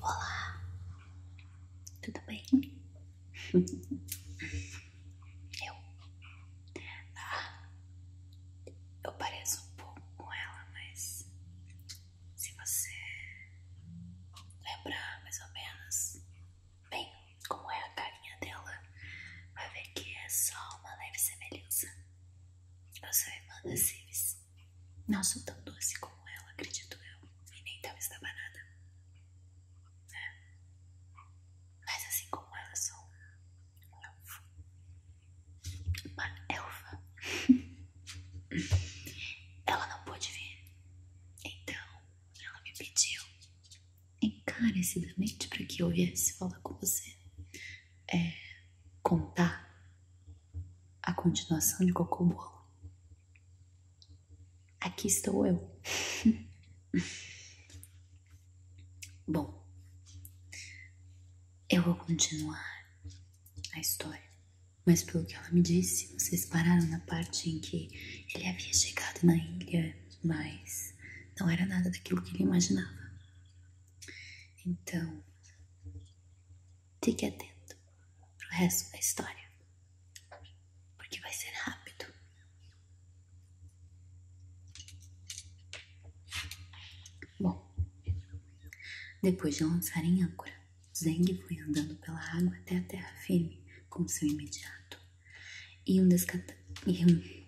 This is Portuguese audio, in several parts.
Olá, tudo bem? Eu. Ah, eu pareço um pouco com ela, mas se você lembrar mais ou menos bem como é a carinha dela, vai ver que é só uma leve semelhança. Eu sou a irmã da Civis. Não sou tão doce como ela, acredito eu. E nem tão estabanada. É. Mas assim como ela, sou um elfo. Uma elfa. ela não pôde vir. Então, ela me pediu encarecidamente para que eu viesse falar com você. É. Contar a continuação de Cocô Bolo. Aqui estou eu. Bom, eu vou continuar a história, mas pelo que ela me disse, vocês pararam na parte em que ele havia chegado na ilha, mas não era nada daquilo que ele imaginava. Então, Fique atento pro resto da história, porque vai ser rápido. Bom, depois de lançar em âncora, Zeng foi andando pela água até a terra firme com seu imediato. E um descanso hum,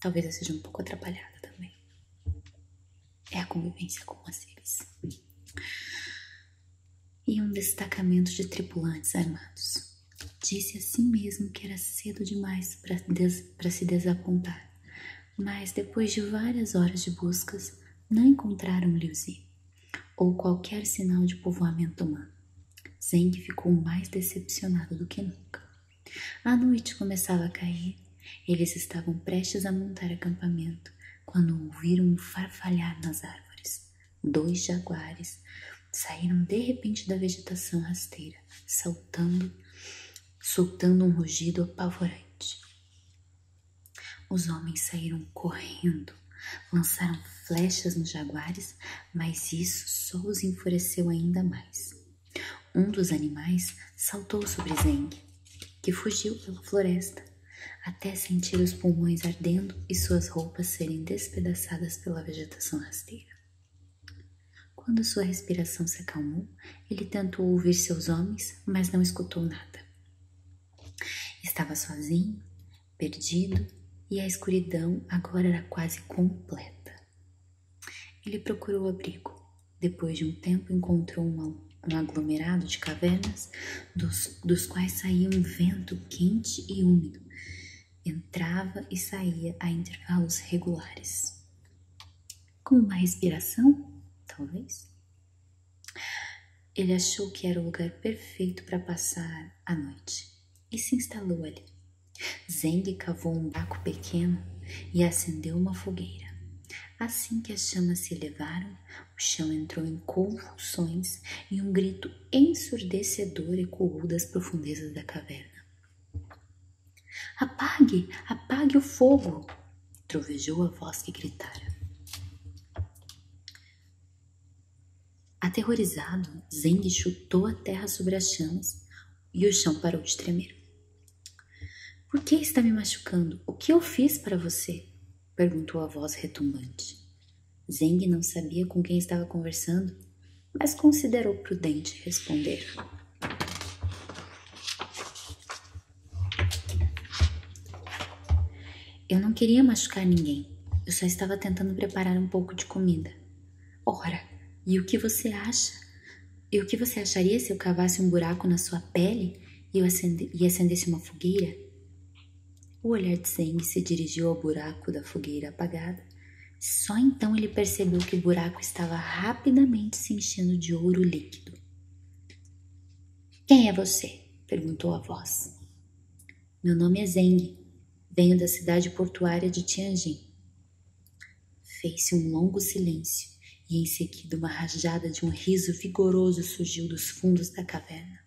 Talvez eu seja um pouco atrapalhada também é a convivência com aceives e um destacamento de tripulantes armados. Disse a si mesmo que era cedo demais para se desapontar, mas depois de várias horas de buscas, não encontraram Liuzi ou qualquer sinal de povoamento humano. Zeng ficou mais decepcionado do que nunca. A noite começava a cair, eles estavam prestes a montar acampamento quando ouviram um farfalhar nas árvores. Dois jaguares saíram de repente da vegetação rasteira, saltando, soltando um rugido apavorante. Os homens saíram correndo, lançaram flechas nos jaguares, mas isso só os enfureceu ainda mais. Um dos animais saltou sobre Zeng, que fugiu pela floresta até sentir os pulmões ardendo e suas roupas serem despedaçadas pela vegetação rasteira. Quando sua respiração se acalmou, ele tentou ouvir seus homens, mas não escutou nada. Estava sozinho, perdido, e a escuridão agora era quase completa. Ele procurou abrigo. Depois de um tempo, encontrou um aglomerado de cavernas dos, dos quais saía um vento quente e úmido. Entrava e saía a intervalos regulares. Como uma respiração, talvez? Ele achou que era o lugar perfeito para passar a noite e se instalou ali. Zeng cavou um buraco pequeno e acendeu uma fogueira. Assim que as chamas se elevaram, o chão entrou em convulsões e um grito ensurdecedor ecoou das profundezas da caverna. Apague! Apague o fogo! trovejou a voz que gritara. Aterrorizado, Zeng chutou a terra sobre as chamas e o chão parou de tremer. Por que está me machucando? O que eu fiz para você? Perguntou a voz retumbante. Zeng não sabia com quem estava conversando, mas considerou prudente responder. Eu não queria machucar ninguém. Eu só estava tentando preparar um pouco de comida. Ora, e o que você acha? E o que você acharia se eu cavasse um buraco na sua pele e acende, e acendesse uma fogueira? O olhar de Zeng se dirigiu ao buraco da fogueira apagada. Só então ele percebeu que o buraco estava rapidamente se enchendo de ouro líquido. Quem é você? perguntou a voz. Meu nome é Zeng. Venho da cidade portuária de Tianjin. Fez-se um longo silêncio e em seguida uma rajada de um riso vigoroso surgiu dos fundos da caverna.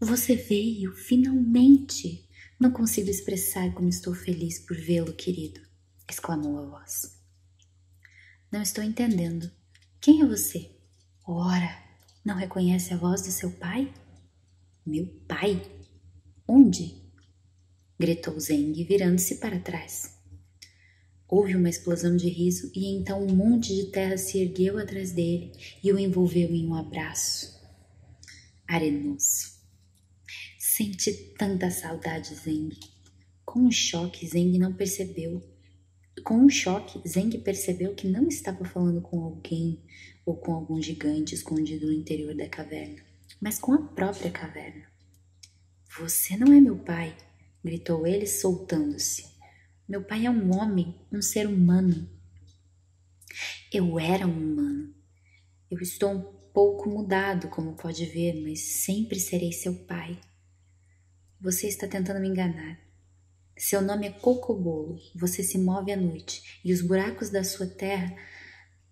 Você veio, finalmente! Não consigo expressar como estou feliz por vê-lo, querido, exclamou a voz. Não estou entendendo. Quem é você? Ora, não reconhece a voz do seu pai? Meu pai? Onde? gritou Zeng, virando-se para trás. Houve uma explosão de riso e então um monte de terra se ergueu atrás dele e o envolveu em um abraço. Arenou-se. Sente tanta saudade, Zeng. Com um choque, Zeng não percebeu. Com um choque, Zeng percebeu que não estava falando com alguém ou com algum gigante escondido no interior da caverna, mas com a própria caverna. Você não é meu pai, gritou ele, soltando-se. Meu pai é um homem, um ser humano. Eu era um humano. Eu estou um pouco mudado, como pode ver, mas sempre serei seu pai. Você está tentando me enganar. Seu nome é Cocobolo. Você se move à noite e os buracos da sua terra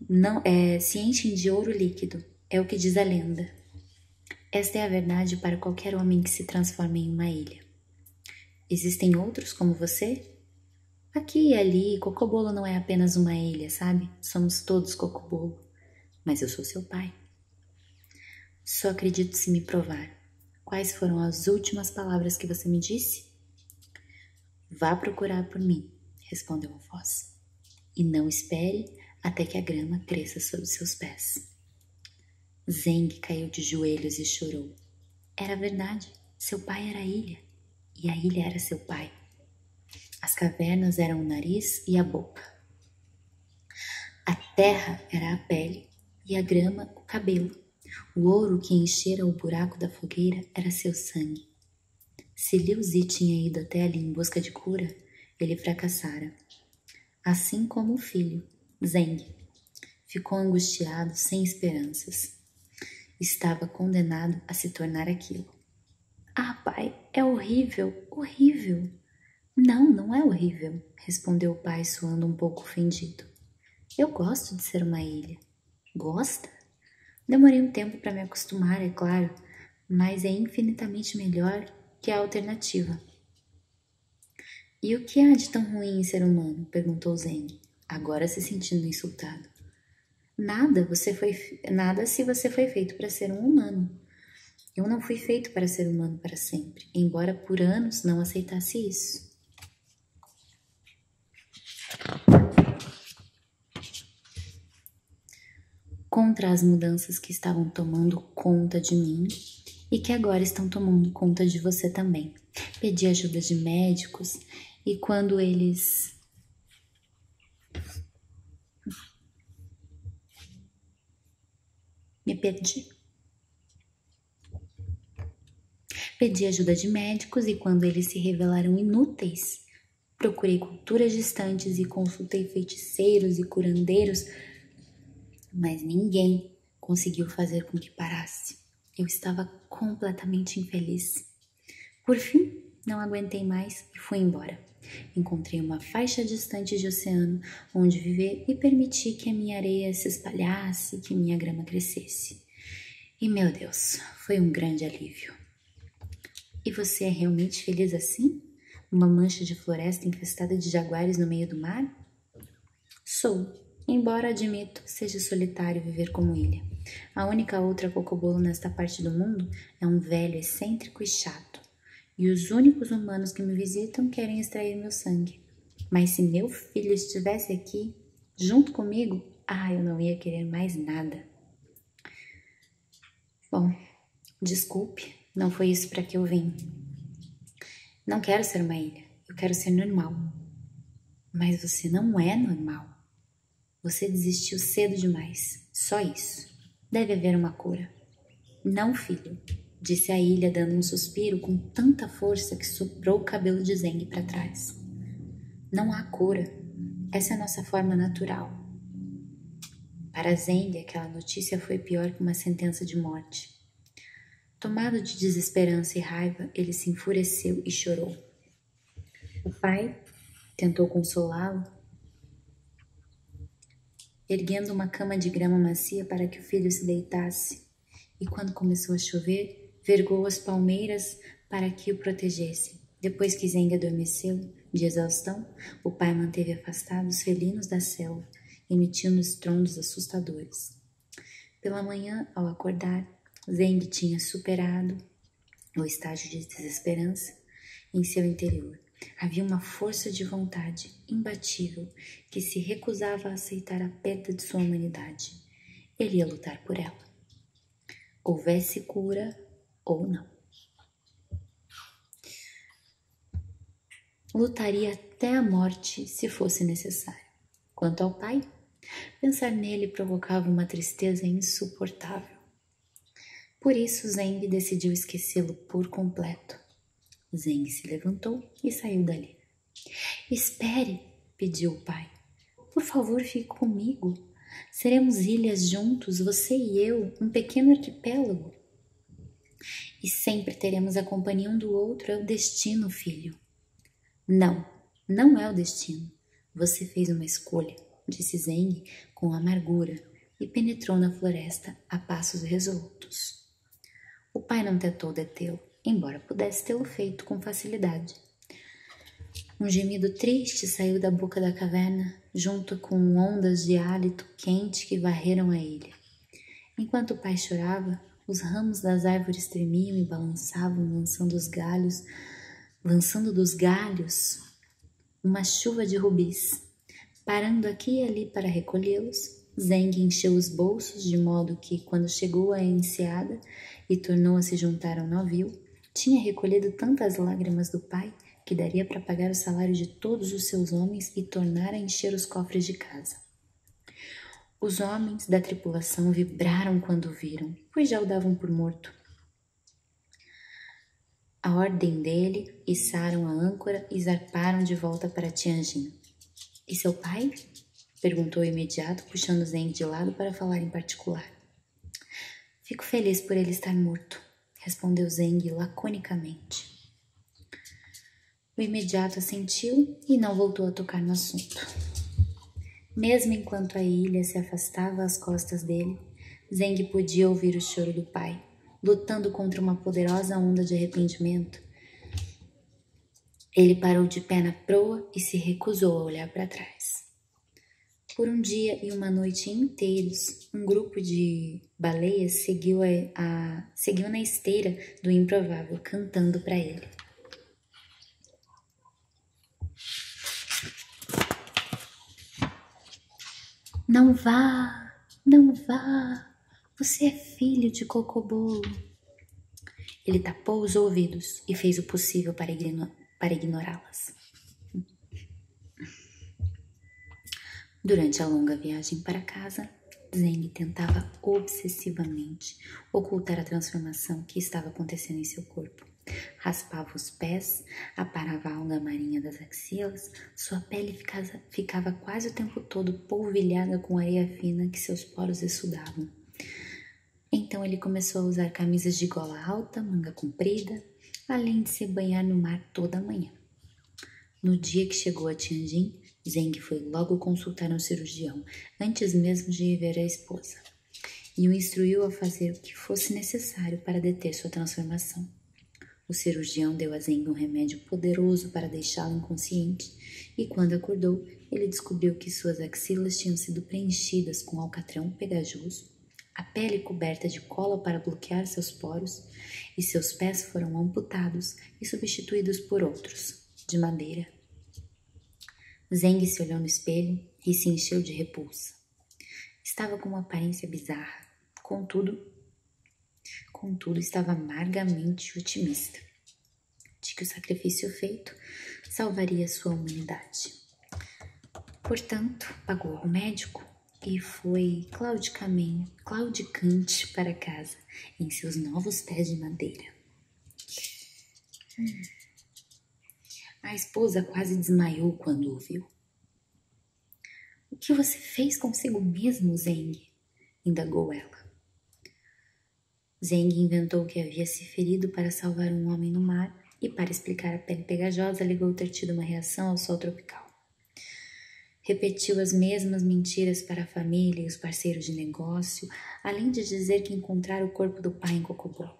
não é, se enchem de ouro líquido. É o que diz a lenda. Esta é a verdade para qualquer homem que se transforme em uma ilha. Existem outros como você? Aqui e ali, Cocobolo não é apenas uma ilha, sabe? Somos todos Cocobolo. Mas eu sou seu pai. Só acredito se me provar. Quais foram as últimas palavras que você me disse? Vá procurar por mim, respondeu a voz. E não espere até que a grama cresça sob seus pés. Zeng caiu de joelhos e chorou. Era verdade, seu pai era a ilha, e a ilha era seu pai. As cavernas eram o nariz e a boca. A terra era a pele e a grama o cabelo. O ouro que enchera o buraco da fogueira era seu sangue. Se Liu Zi tinha ido até ali em busca de cura, ele fracassara. Assim como o filho, Zeng, ficou angustiado sem esperanças. Estava condenado a se tornar aquilo. Ah, pai, é horrível, horrível. Não, não é horrível, respondeu o pai, suando um pouco ofendido. Eu gosto de ser uma ilha. Gosta? Demorei um tempo para me acostumar, é claro, mas é infinitamente melhor que a alternativa. E o que há de tão ruim em ser humano? perguntou Zeng, agora se sentindo insultado. Nada, você foi nada se você foi feito para ser um humano. Eu não fui feito para ser humano para sempre, embora por anos não aceitasse isso. Contra as mudanças que estavam tomando conta de mim e que agora estão tomando conta de você também. Pedi ajuda de médicos e quando eles me perdi. Pedi ajuda de médicos e quando eles se revelaram inúteis, procurei culturas distantes e consultei feiticeiros e curandeiros, mas ninguém conseguiu fazer com que parasse. Eu estava completamente infeliz. Por fim, não aguentei mais e fui embora. Encontrei uma faixa distante de oceano onde viver e permiti que a minha areia se espalhasse, que minha grama crescesse. E meu Deus, foi um grande alívio. E você é realmente feliz assim? Uma mancha de floresta infestada de jaguares no meio do mar? Sou, embora admito, seja solitário viver como ilha. A única outra cocobolo nesta parte do mundo é um velho excêntrico e chato. E os únicos humanos que me visitam querem extrair meu sangue. Mas se meu filho estivesse aqui, junto comigo, ah, eu não ia querer mais nada. Bom, desculpe, não foi isso para que eu vim. Não quero ser uma ilha, eu quero ser normal. Mas você não é normal. Você desistiu cedo demais. Só isso. Deve haver uma cura. Não, filho, disse a ilha, dando um suspiro com tanta força que soprou o cabelo de Zeng para trás. Não há cura. Essa é a nossa forma natural. Para Zeng, aquela notícia foi pior que uma sentença de morte. Tomado de desesperança e raiva, ele se enfureceu e chorou. O pai tentou consolá-lo, erguendo uma cama de grama macia para que o filho se deitasse, e quando começou a chover, vergou as palmeiras para que o protegesse. Depois que Zeng adormeceu, de exaustão, o pai manteve afastados felinos da selva, emitindo estrondos assustadores. Pela manhã, ao acordar, Zeng tinha superado o estágio de desesperança em seu interior. Havia uma força de vontade imbatível que se recusava a aceitar a perda de sua humanidade. Ele ia lutar por ela. Houvesse cura ou não. Lutaria até a morte se fosse necessário. Quanto ao pai, pensar nele provocava uma tristeza insuportável. Por isso, Zeng decidiu esquecê-lo por completo. Zeng se levantou e saiu dali. Espere, pediu o pai. Por favor, fique comigo. Seremos ilhas juntos, você e eu, um pequeno arquipélago. E sempre teremos a companhia um do outro, é o destino, filho. Não, não é o destino. Você fez uma escolha, disse Zeng com amargura e penetrou na floresta a passos resolutos. O pai não tentou detê-lo, embora pudesse tê-lo feito com facilidade. Um gemido triste saiu da boca da caverna, junto com ondas de hálito quente que varreram a ilha. Enquanto o pai chorava, os ramos das árvores tremiam e balançavam, lançando os galhos, lançando dos galhos uma chuva de rubis. Parando aqui e ali para recolhê-los, Zeng encheu os bolsos de modo que, quando chegou à enseada e tornou a se juntar ao navio, tinha recolhido tantas lágrimas do pai que daria para pagar o salário de todos os seus homens e tornar a encher os cofres de casa. Os homens da tripulação vibraram quando o viram, pois já o davam por morto. A ordem dele, içaram a âncora e zarparam de volta para Tianjin. E seu pai? Perguntou imediato, puxando Zeng de lado para falar em particular. Fico feliz por ele estar morto, respondeu Zeng laconicamente. O imediato assentiu e não voltou a tocar no assunto. Mesmo enquanto a ilha se afastava às costas dele, Zeng podia ouvir o choro do pai, lutando contra uma poderosa onda de arrependimento. Ele parou de pé na proa e se recusou a olhar para trás. Por um dia e uma noite inteiros, um grupo de baleias seguiu, seguiu na esteira do improvável cantando para ele. Não vá, não vá, você é filho de Cocobolo. Ele tapou os ouvidos e fez o possível para, para ignorá-las. Durante a longa viagem para casa, Zeng tentava obsessivamente ocultar a transformação que estava acontecendo em seu corpo. Raspava os pés, aparava a onda marinha das axilas, sua pele ficava, quase o tempo todo polvilhada com areia fina que seus poros exudavam. Então ele começou a usar camisas de gola alta, manga comprida, além de se banhar no mar toda manhã. No dia que chegou a Tianjin, Zeng foi logo consultar um cirurgião, antes mesmo de ver a esposa, e o instruiu a fazer o que fosse necessário para deter sua transformação. O cirurgião deu a Zeng um remédio poderoso para deixá lo inconsciente, e quando acordou, ele descobriu que suas axilas tinham sido preenchidas com alcatrão pegajoso, a pele coberta de cola para bloquear seus poros, e seus pés foram amputados e substituídos por outros de madeira. Zeng se olhou no espelho e se encheu de repulsa. Estava com uma aparência bizarra, contudo, contudo estava amargamente otimista de que o sacrifício feito salvaria sua humanidade. Portanto, pagou o médico e foi claudicamente, claudicante para casa em seus novos pés de madeira. A esposa quase desmaiou quando ouviu. O que você fez consigo mesmo, Zeng? indagou ela. Zeng inventou que havia se ferido para salvar um homem no mar e, para explicar a pele pegajosa, alegou ter tido uma reação ao sol tropical. Repetiu as mesmas mentiras para a família e os parceiros de negócio além de dizer que encontrara o corpo do pai em Cocobolo.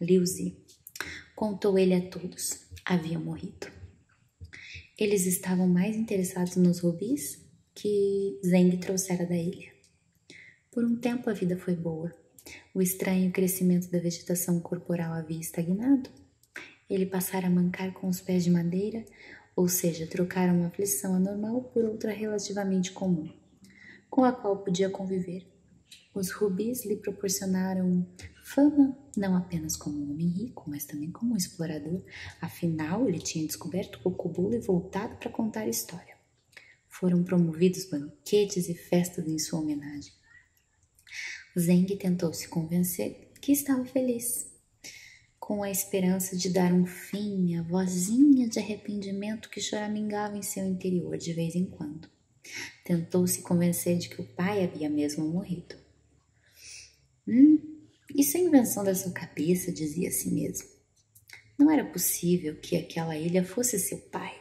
Liuzi contou ele a todos. Havia morrido. Eles estavam mais interessados nos rubis que Zeng trouxera da ilha. Por um tempo a vida foi boa. O estranho crescimento da vegetação corporal havia estagnado. Ele passara a mancar com os pés de madeira, ou seja, trocar uma aflição anormal por outra relativamente comum, com a qual podia conviver. Os rubis lhe proporcionaram fama não apenas como um homem rico, mas também como um explorador. Afinal, ele tinha descoberto o Cocobolo e voltado para contar a história. Foram promovidos banquetes e festas em sua homenagem. Zeng tentou se convencer que estava feliz com a esperança de dar um fim à vozinha de arrependimento que choramingava em seu interior de vez em quando. Tentou se convencer de que o pai havia mesmo morrido. Hum, isso é invenção da sua cabeça, dizia a si mesmo. Não era possível que aquela ilha fosse seu pai.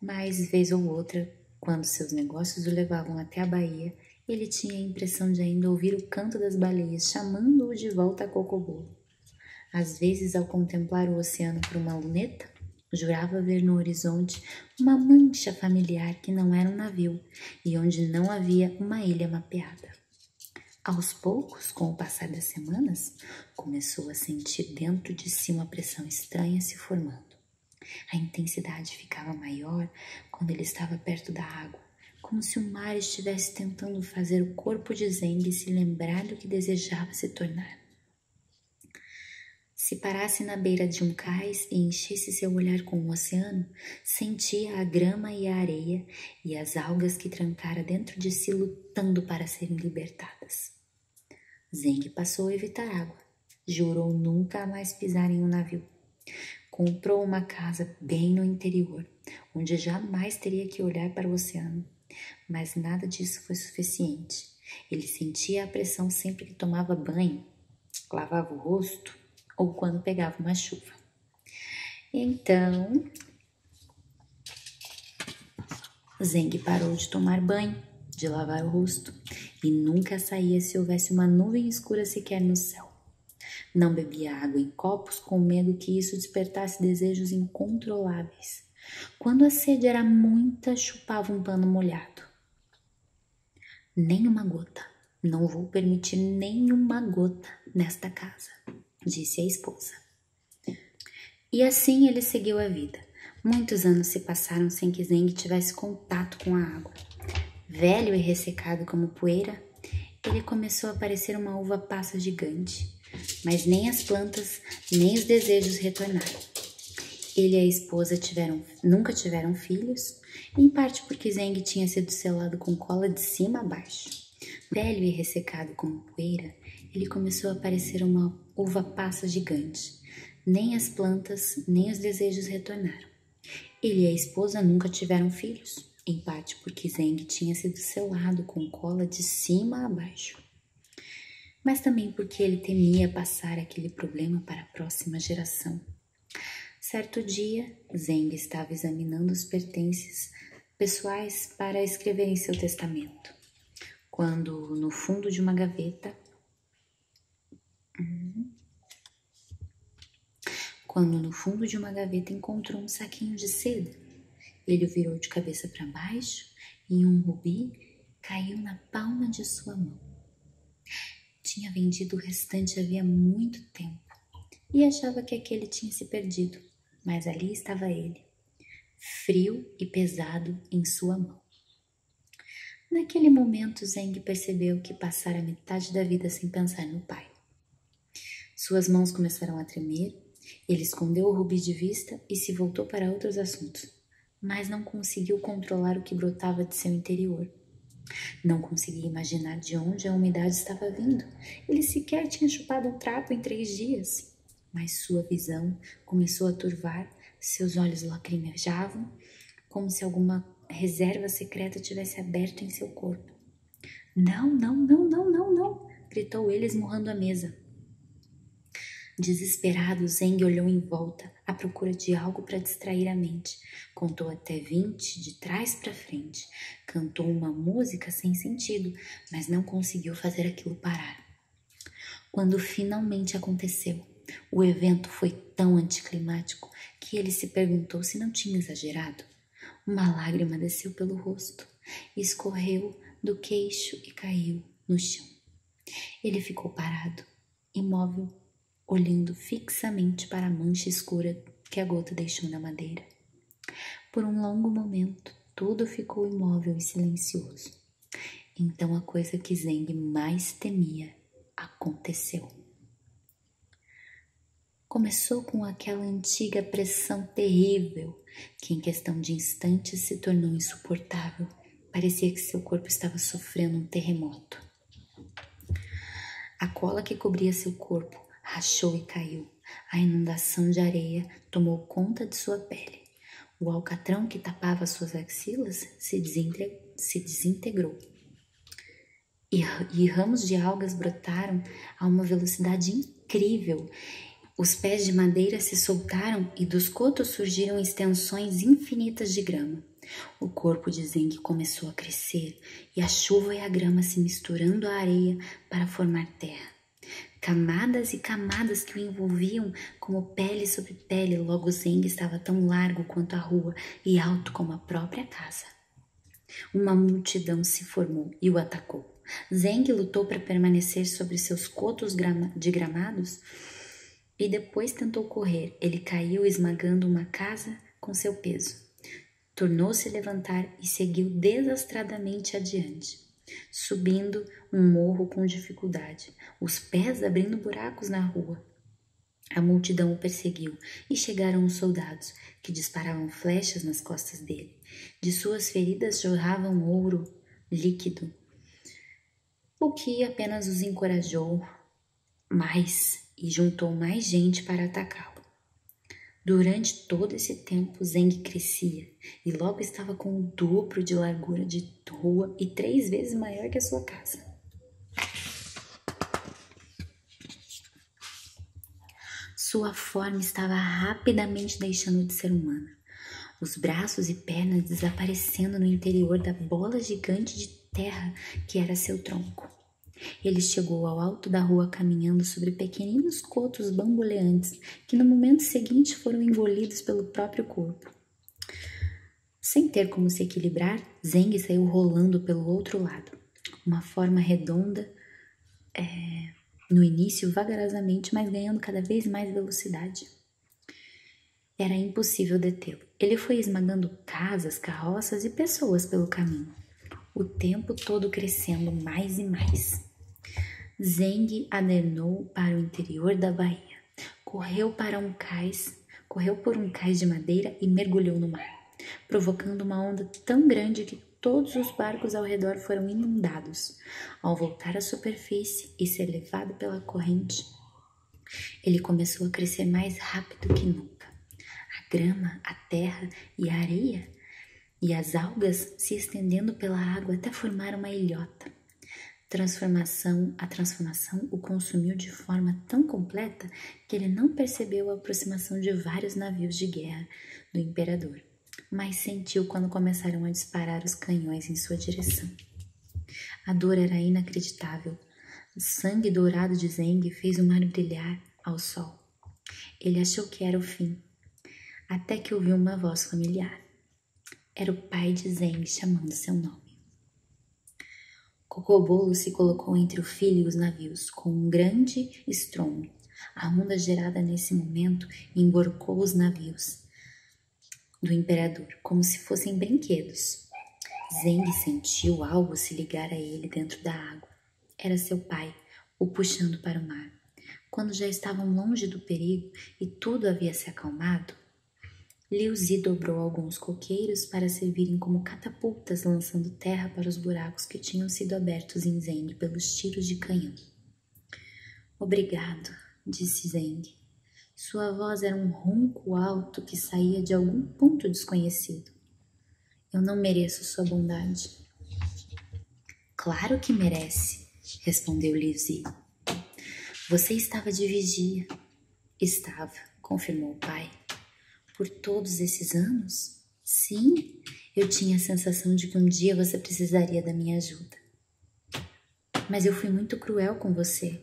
Mas, vez ou outra, quando seus negócios o levavam até a Bahia, ele tinha a impressão de ainda ouvir o canto das baleias, chamando-o de volta a Cocobolo. Às vezes, ao contemplar o oceano por uma luneta, jurava ver no horizonte uma mancha familiar que não era um navio e onde não havia uma ilha mapeada. Aos poucos, com o passar das semanas, começou a sentir dentro de si uma pressão estranha se formando. A intensidade ficava maior quando ele estava perto da água como se o mar estivesse tentando fazer o corpo de Zeng se lembrar do que desejava se tornar. Se parasse na beira de um cais e enchesse seu olhar com o oceano, sentia a grama e a areia e as algas que trancara dentro de si lutando para serem libertadas. Zeng passou a evitar água. Jurou nunca mais pisar em um navio. Comprou uma casa bem no interior onde jamais teria que olhar para o oceano. Mas nada disso foi suficiente. Ele sentia a pressão sempre que tomava banho, lavava o rosto ou quando pegava uma chuva. Então, Zeng parou de tomar banho, de lavar o rosto e nunca saía se houvesse uma nuvem escura sequer no céu. Não bebia água em copos com medo que isso despertasse desejos incontroláveis. Quando a sede era muita, chupava um pano molhado. Nem uma gota. Não vou permitir nem uma gota nesta casa, disse a esposa. E assim ele seguiu a vida. Muitos anos se passaram sem que Zeng tivesse contato com a água. Velho e ressecado como poeira, ele começou a parecer uma uva passa gigante, mas nem as plantas, nem os desejos retornaram. Ele e a esposa nunca tiveram filhos, em parte porque Zeng tinha sido selado com cola de cima a baixo. Velho e ressecado como poeira, ele começou a parecer uma uva passa gigante. Nem as plantas, nem os desejos retornaram. Ele e a esposa nunca tiveram filhos, em parte porque Zeng tinha sido selado com cola de cima a baixo, mas também porque ele temia passar aquele problema para a próxima geração. Certo dia, Zeng estava examinando os pertences pessoais para escrever em seu testamento, quando, no fundo de uma gaveta, quando no fundo de uma gaveta encontrou um saquinho de seda, ele o virou de cabeça para baixo e um rubi caiu na palma de sua mão. Tinha vendido o restante havia muito tempo e achava que aquele tinha se perdido, mas ali estava ele, frio e pesado em sua mão. Naquele momento, Zeng percebeu que passara metade da vida sem pensar no pai. Suas mãos começaram a tremer, ele escondeu o rubi de vista e se voltou para outros assuntos, mas não conseguiu controlar o que brotava de seu interior. Não conseguia imaginar de onde a umidade estava vindo. Ele sequer tinha chupado um trapo em três dias. Mas sua visão começou a turvar, seus olhos lacrimejavam, como se alguma reserva secreta tivesse aberto em seu corpo. Não, não, não, não, não, não! gritou ele esmurrando a mesa. Desesperado, Zeng olhou em volta, à procura de algo para distrair a mente. Contou até vinte, de trás para frente. Cantou uma música sem sentido, mas não conseguiu fazer aquilo parar. Quando finalmente aconteceu, o evento foi tão anticlimático que ele se perguntou se não tinha exagerado. Uma lágrima desceu pelo rosto, escorreu do queixo e caiu no chão. Ele ficou parado, imóvel, olhando fixamente para a mancha escura que a gota deixou na madeira. Por um longo momento, tudo ficou imóvel e silencioso. Então a coisa que Zeng mais temia aconteceu. Começou com aquela antiga pressão terrível, que em questão de instantes se tornou insuportável. Parecia que seu corpo estava sofrendo um terremoto. A cola que cobria seu corpo rachou e caiu. A inundação de areia tomou conta de sua pele. O alcatrão que tapava suas axilas se, desintegrou. E, ramos de algas brotaram a uma velocidade incrível. Os pés de madeira se soltaram e dos cotos surgiram extensões infinitas de grama. O corpo de Zeng começou a crescer e a chuva e a grama se misturando à areia para formar terra. Camadas e camadas que o envolviam como pele sobre pele, logo Zeng estava tão largo quanto a rua e alto como a própria casa. Uma multidão se formou e o atacou. Zeng lutou para permanecer sobre seus cotos de gramados e depois tentou correr. Ele caiu esmagando uma casa com seu peso. Tornou-se levantar e seguiu desastradamente adiante, subindo um morro com dificuldade, os pés abrindo buracos na rua. A multidão o perseguiu e chegaram os soldados, que disparavam flechas nas costas dele. De suas feridas jorravam ouro líquido, o que apenas os encorajou mais e juntou mais gente para atacá-lo. Durante todo esse tempo, Zeng crescia e logo estava com o dobro de largura de rua e três vezes maior que a sua casa. Sua forma estava rapidamente deixando de ser humana, os braços e pernas desaparecendo no interior da bola gigante de terra que era seu tronco. Ele chegou ao alto da rua caminhando sobre pequeninos cotos bamboleantes que no momento seguinte foram engolidos pelo próprio corpo. Sem ter como se equilibrar, Zeng saiu rolando pelo outro lado. Uma forma redonda é, no início, vagarosamente, mas ganhando cada vez mais velocidade. Era impossível detê-lo. Ele foi esmagando casas, carroças e pessoas pelo caminho, o tempo todo crescendo mais e mais. Zeng adernou para o interior da Bahia, correu para um cais, correu por um cais de madeira e mergulhou no mar, provocando uma onda tão grande que todos os barcos ao redor foram inundados. Ao voltar à superfície e ser levado pela corrente, ele começou a crescer mais rápido que nunca. A grama, a terra e a areia e as algas se estendendo pela água até formar uma ilhota. Transformação, a transformação o consumiu de forma tão completa que ele não percebeu a aproximação de vários navios de guerra do imperador mas sentiu quando começaram a disparar os canhões em sua direção. A dor era inacreditável. O sangue dourado de Zeng fez o mar brilhar ao sol. Ele achou que era o fim, até que ouviu uma voz familiar. Era o pai de Zeng chamando seu nome. Cocobolo se colocou entre o filho e os navios com um grande estrondo. A onda gerada nesse momento emborcou os navios do imperador, como se fossem brinquedos. Zeng sentiu algo se ligar a ele dentro da água. Era seu pai, o puxando para o mar. Quando já estavam longe do perigo e tudo havia se acalmado, Liu dobrou alguns coqueiros para servirem como catapultas lançando terra para os buracos que tinham sido abertos em Zeng pelos tiros de canhão. Obrigado, disse Zeng. Sua voz era um ronco alto que saía de algum ponto desconhecido. Eu não mereço sua bondade. Claro que merece, respondeu Lizzie. Você estava de vigia. Estava, confirmou o pai. Por todos esses anos? Sim, eu tinha a sensação de que um dia você precisaria da minha ajuda. Mas eu fui muito cruel com você.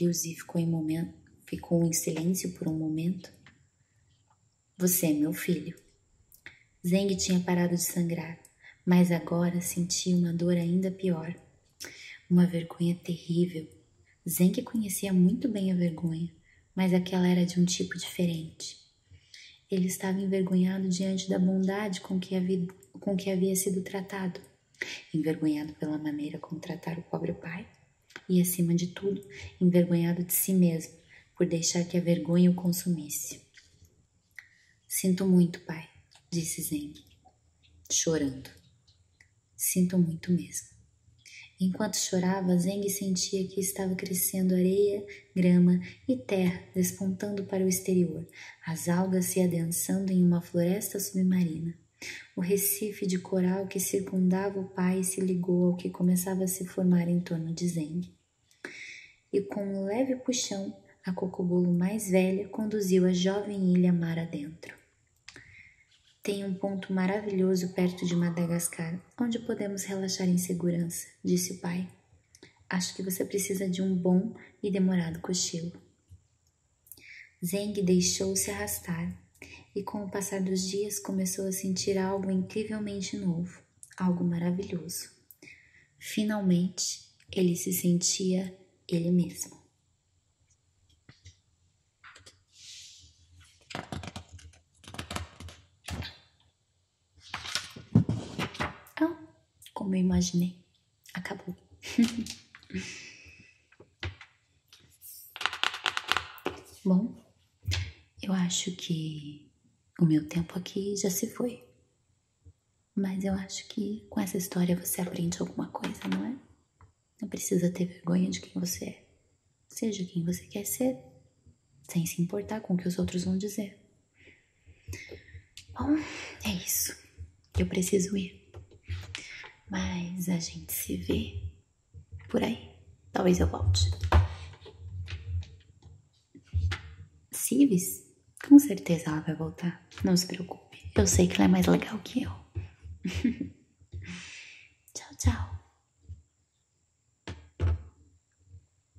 Liuzi ficou em momento, ficou em silêncio por um momento. Você é meu filho. Zeng tinha parado de sangrar, mas agora sentia uma dor ainda pior. Uma vergonha terrível. Zeng conhecia muito bem a vergonha, mas aquela era de um tipo diferente. Ele estava envergonhado diante da bondade com que havia, com que havia sido tratado, envergonhado pela maneira como tratar o pobre pai e, acima de tudo, envergonhado de si mesmo por deixar que a vergonha o consumisse. Sinto muito, pai, disse Zeng, chorando. Sinto muito mesmo. Enquanto chorava, Zeng sentia que estava crescendo areia grama e terra despontando para o exterior, as algas se adensando em uma floresta submarina. O recife de coral que circundava o pai se ligou ao que começava a se formar em torno de Zeng. E com um leve puxão, a cocobolo mais velha conduziu a jovem ilha mar dentro Tem um ponto maravilhoso perto de Madagascar, onde podemos relaxar em segurança, disse o pai. Acho que você precisa de um bom e demorado cochilo. Zeng deixou-se arrastar e, com o passar dos dias, começou a sentir algo incrivelmente novo, algo maravilhoso. Finalmente, ele se sentia ele mesmo. Ah, como eu imaginei. Acabou. Bom, eu acho que o meu tempo aqui já se foi. Mas eu acho que com essa história você aprende alguma coisa, não é? Não precisa ter vergonha de quem você é. Seja quem você quer ser, sem se importar com o que os outros vão dizer. Bom, é isso. Eu preciso ir. Mas a gente se vê por aí. Talvez eu volte. Civis? Com certeza ela vai voltar. Não se preocupe. Eu sei que ela é mais legal que eu. tchau, tchau.